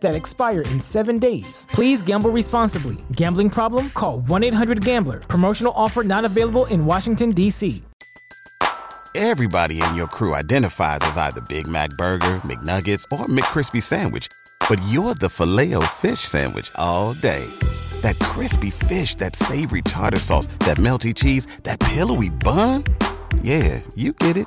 that expire in seven days. Please gamble responsibly. Gambling problem? Call 1 800 Gambler. Promotional offer not available in Washington, D.C. Everybody in your crew identifies as either Big Mac Burger, McNuggets, or McCrispy Sandwich, but you're the filet o fish Sandwich all day. That crispy fish, that savory tartar sauce, that melty cheese, that pillowy bun. Yeah, you get it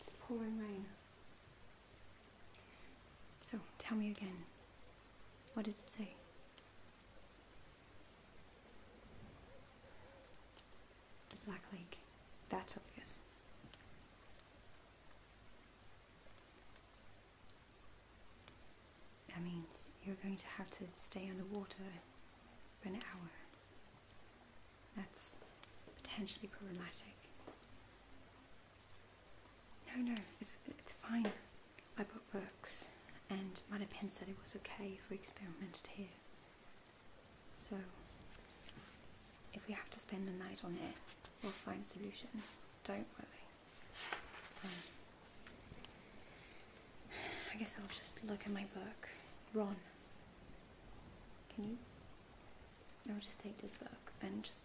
It's pouring rain. So tell me again. What did it say? Black Lake. That's obvious. That means you're going to have to stay underwater for an hour. That's potentially problematic. No, no, it's, it's fine. I bought books, and my pen said it was okay if we experimented here. So, if we have to spend the night on it, we'll find a solution. Don't worry. Um, I guess I'll just look at my book. Ron, can you? I'll just take this book and just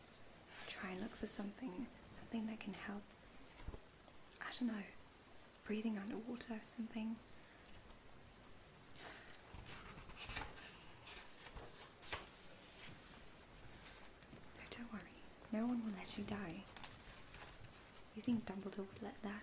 try and look for something, something that can help. I don't know, breathing underwater or something. No, don't worry. No one will let you die. You think Dumbledore would let that?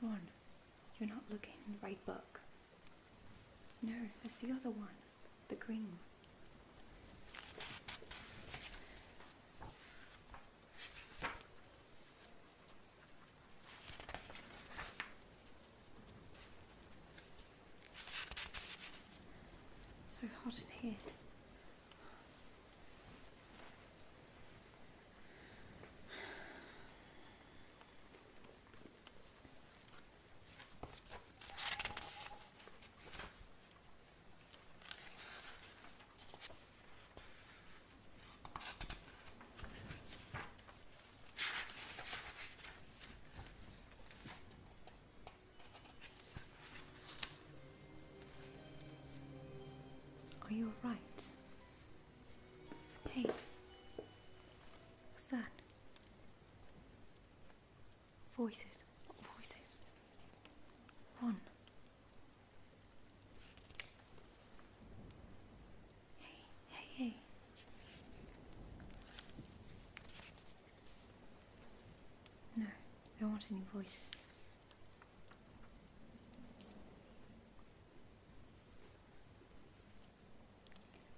One, you're not looking in the right book. No, it's the other one the green So hot in here. Are you all right? Hey, what's that? Voices. voices? One. Hey, hey, hey. No, there aren't any voices.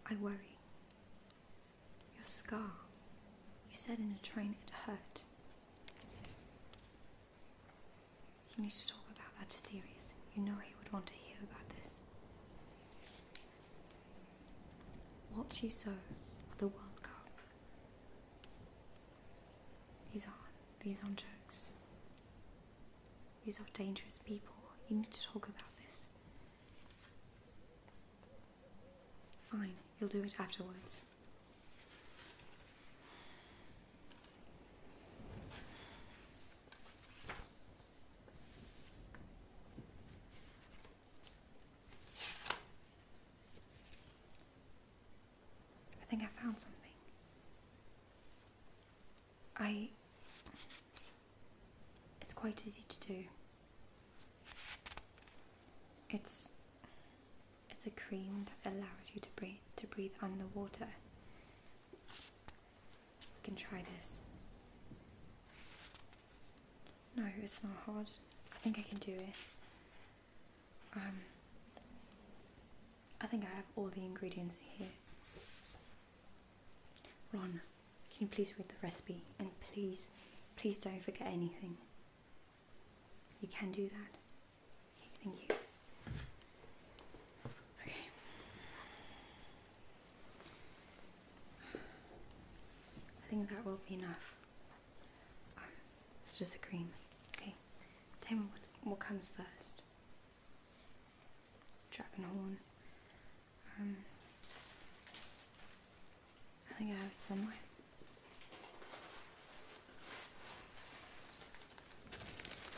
I worry. Your scar. You said in a train it hurt. You need to talk about that to Sirius. You know he would want to hear about this. Watch you saw the World Cup. These are these aren't jokes. These are dangerous people. You need to talk about this. Fine, you'll do it afterwards. I think I found something. I. It's quite easy to do. It's it's a cream that allows you to breathe to breathe underwater. We can try this. No, it's not hard. I think I can do it. Um, I think I have all the ingredients here. Ron, can you please read the recipe and please, please don't forget anything. You can do that. thank you. Okay. I think that will be enough. Ah, it's just a cream. Okay. Tell what, what comes first. Dragon horn. Um, I think I have it somewhere.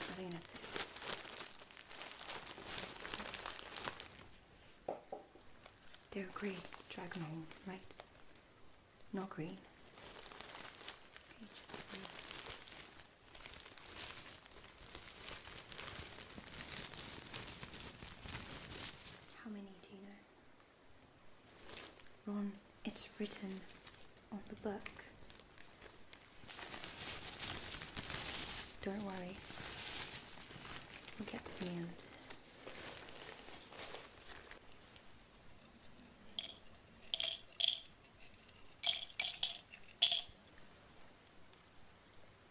I think that's They're grey dragon hole, right? Not green. How many do you know? Ron, it's written on the book. Don't worry, we'll get to the end of this.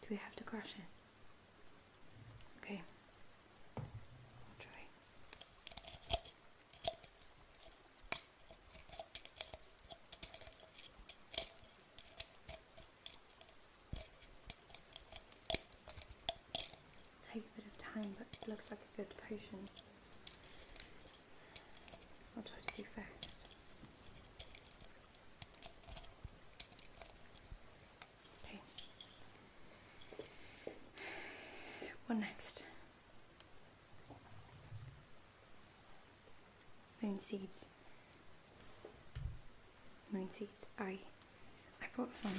Do we have to crush it? Okay. try. Take a bit of time, but looks like a good potion. I'll try to do fast. What next? Moon seeds. Moon seeds. I I bought some.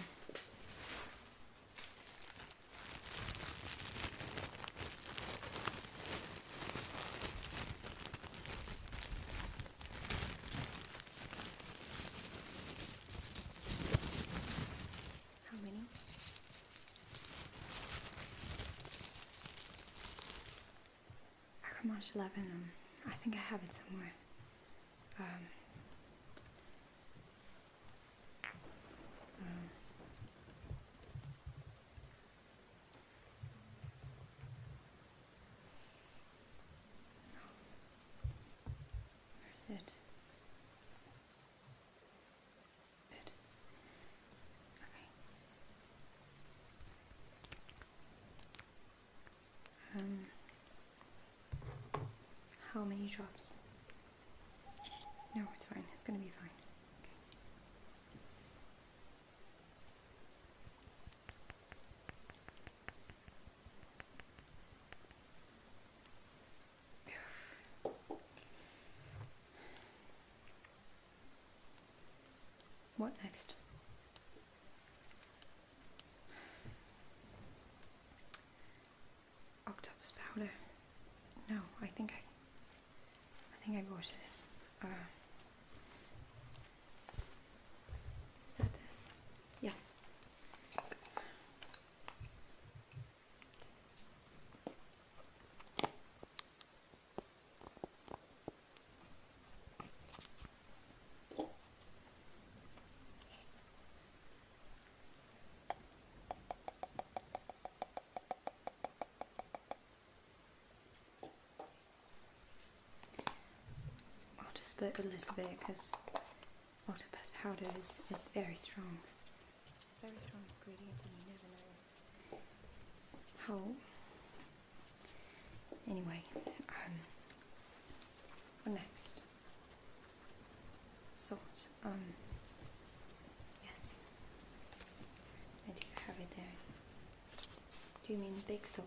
How many? Akamash 11, um, I think I have it somewhere. Um, Where's it? Good. Okay. Um, how many drops? No, it's fine. It's gonna be fine. What next? Octopus powder. No, I think I. I think I bought it. Uh, is that this? Yes. I'll just put a little bit because Octopus powder is, is very strong. Very strong ingredient how. Anyway, um, next? Salt. Um, yes. I do have it there. Do you mean big salt?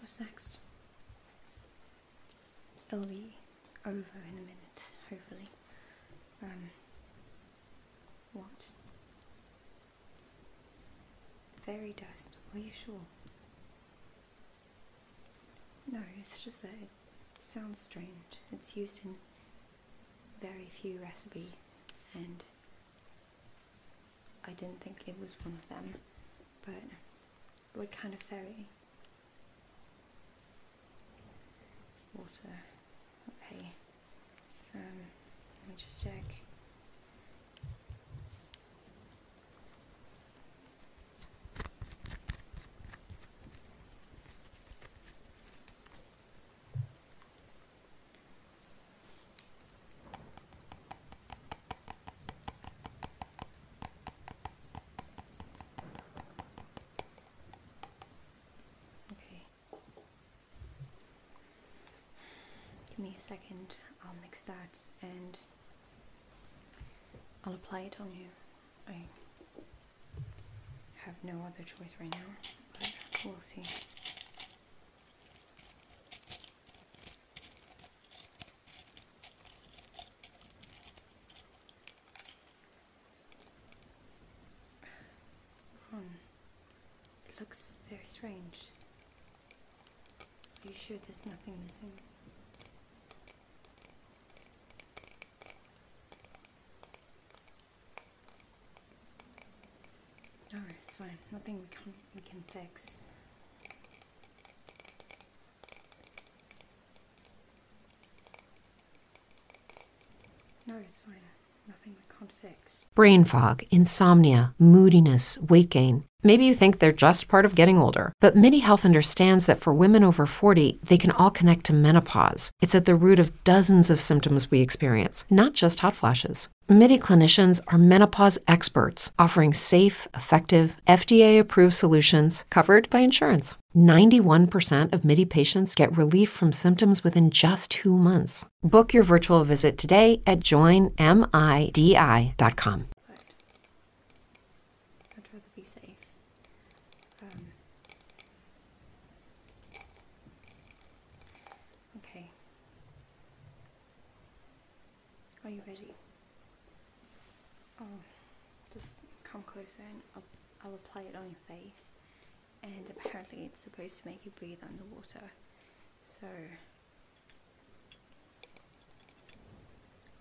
What's next? It'll be over in a minute, hopefully. Um, what? Fairy dust, are you sure? No, it's just a. it sounds strange. It's used in very few recipes, and I didn't think it was one of them, but we're kind of fairy. Water. Okay. Um, let me just check. Okay. Give me a second, I'll mix that and I'll apply it on you. I have no other choice right now. It hmm. looks very strange. Are you sure there's nothing missing? Alright, it's fine. Nothing we can we can fix. No, it's fine. Nothing we can fix. Brain fog, insomnia, moodiness, weight gain. Maybe you think they're just part of getting older, but Mini Health understands that for women over 40, they can all connect to menopause. It's at the root of dozens of symptoms we experience, not just hot flashes. MIDI clinicians are menopause experts offering safe, effective, FDA approved solutions covered by insurance. 91% of MIDI patients get relief from symptoms within just two months. Book your virtual visit today at joinmidi.com. I'd rather be safe. Um, Okay. Are you ready? Oh, just come closer and I'll, I'll apply it on your face. And apparently, it's supposed to make you breathe underwater. So,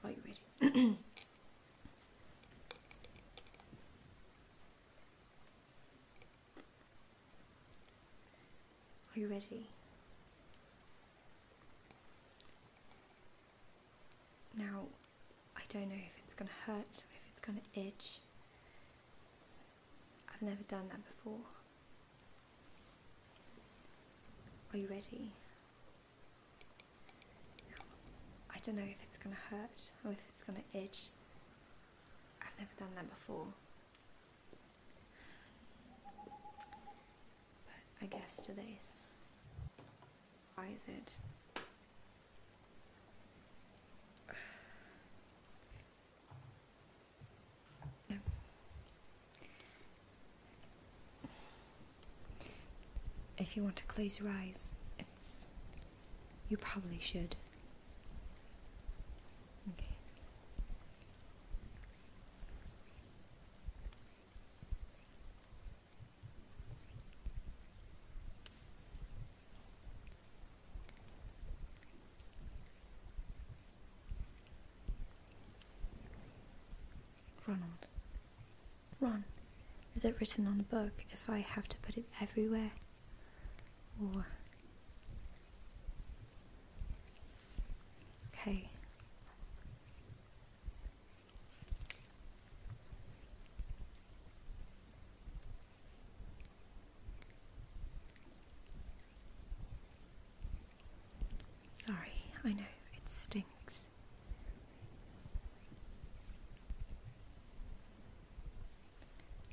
are you ready? Are you ready? Now, I don't know if it's going to hurt, if it's going to itch. I've never done that before. Are you ready? I don't know if it's going to hurt or if it's going to itch. I've never done that before. But I guess today's. Why is it? If you want to close your eyes, you probably should. Okay. Ronald. Ron, is it written on a book if I have to put it everywhere? Ooh. Okay. Sorry, I know it stinks.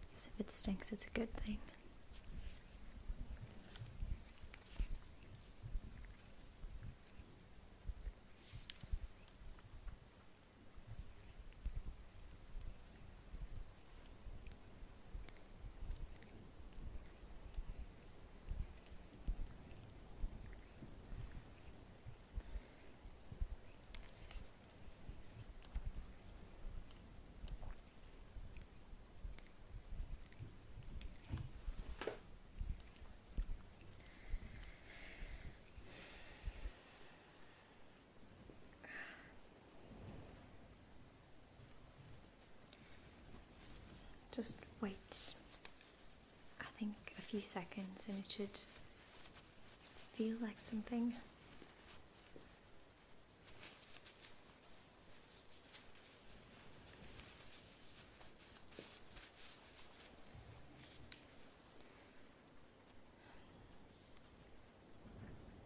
Because if it stinks, it's a good thing. Just wait, I think a few seconds and it should feel like something.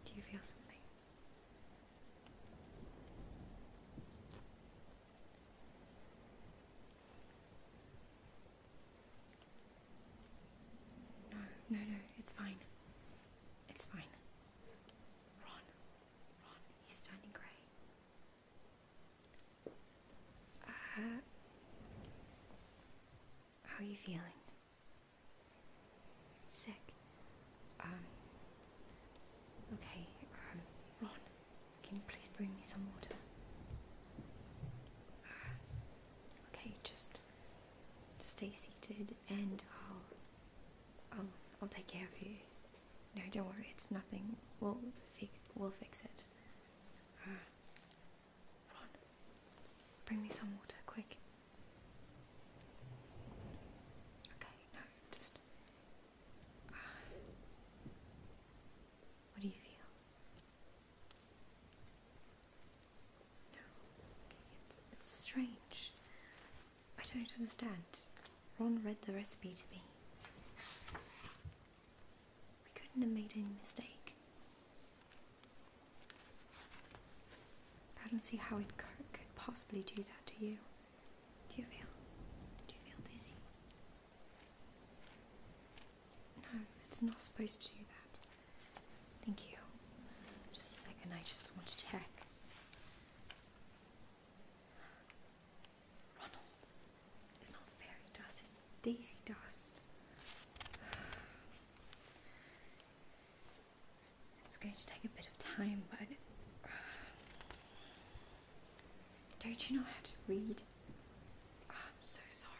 Do you feel something? No, no, no, it's fine. It's fine. Ron, Ron, he's turning grey. Uh, how are you feeling? Sick. Um, okay, um, Ron, can you please bring me some water? Uh, okay, just stay seated and I'll, I'll, I'll take care of you. No, don't worry, it's nothing. We'll, fix, we'll fix it. Uh, Ron, bring me some water, quick. Okay, no, just... Uh, what do you feel? No, it's, strange. I don't understand. Ron read the recipe to me. We couldn't have made any mistake. I don't see how it could possibly do that to you. Do you feel? Do you feel dizzy? No, it's not supposed to do that. Thank you. Just a second, I just want to check. Ronald, it's not fairy dust, it's daisy dust. It's going to take a bit of time, but. don't you know how to read? Ah, I'm so sorry.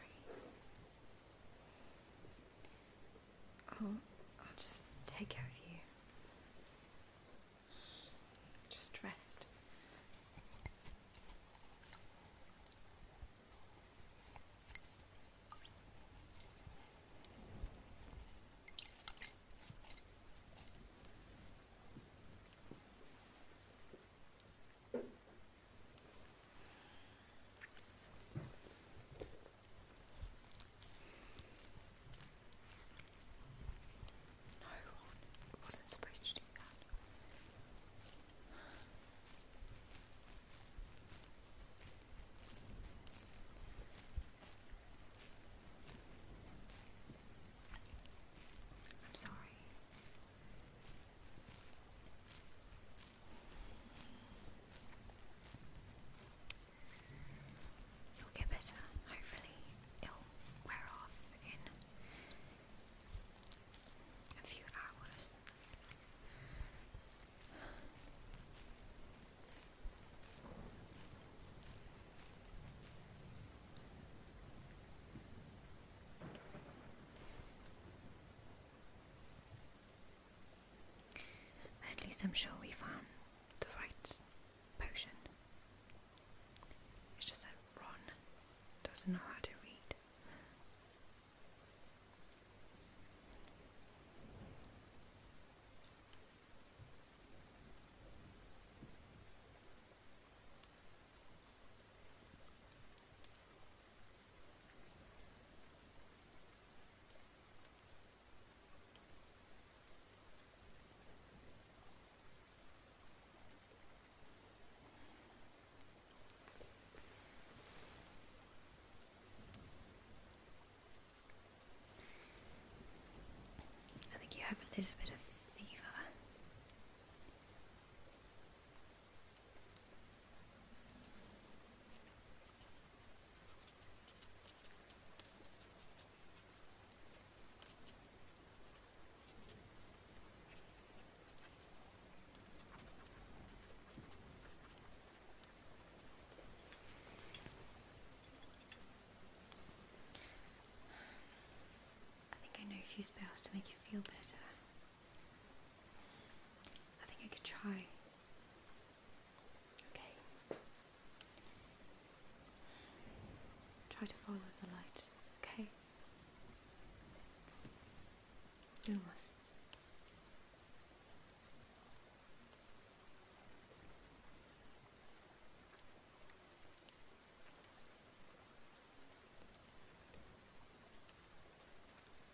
I'll, I'll just take care of you. Just rest. No, Ron, wasn't supposed to I'm sorry. You'll get better. Hopefully, it'll wear off in a few hours. At least I'm sure we found the right potion. It's just that Ron doesn't know how to read. I think you have a little bit of fever. I think I know a few spells to make you feel better. I think I could try. Okay. Try to follow the light, okay? Lumos.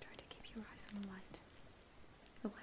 Try to keep your eyes on the light. It will help.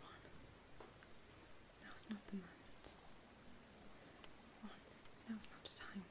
Now now's not the moment. Now now's not the time.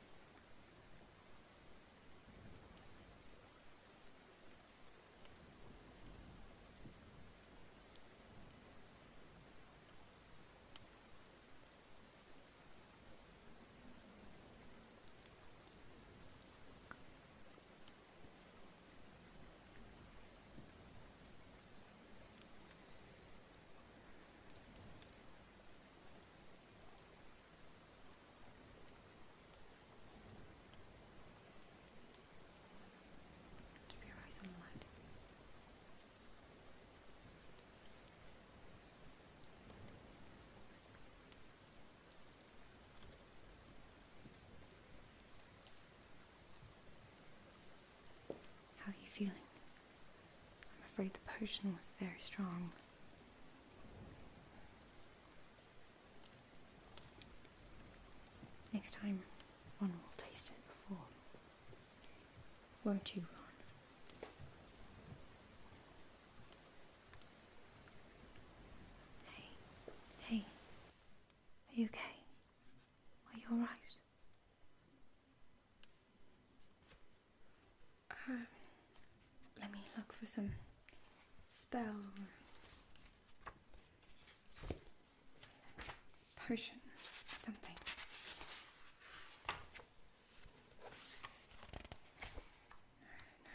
Keep your eyes on the light. Good. How are you feeling? I'm afraid the potion was very strong. Next time, one will taste it before. Won't you, Ron? Hey, hey, are you okay? Are you alright? Um, let me look for some spell potion, something.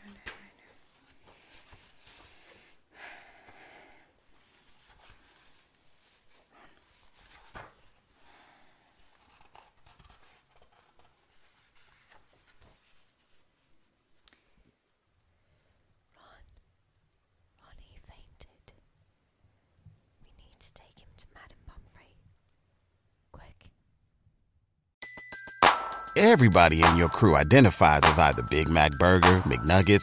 no, no, no, no. Ron, Ronnie fainted. We need to take him to Madame Pomfrey. Quick. Everybody in your crew identifies as either Big Mac Burger, McNuggets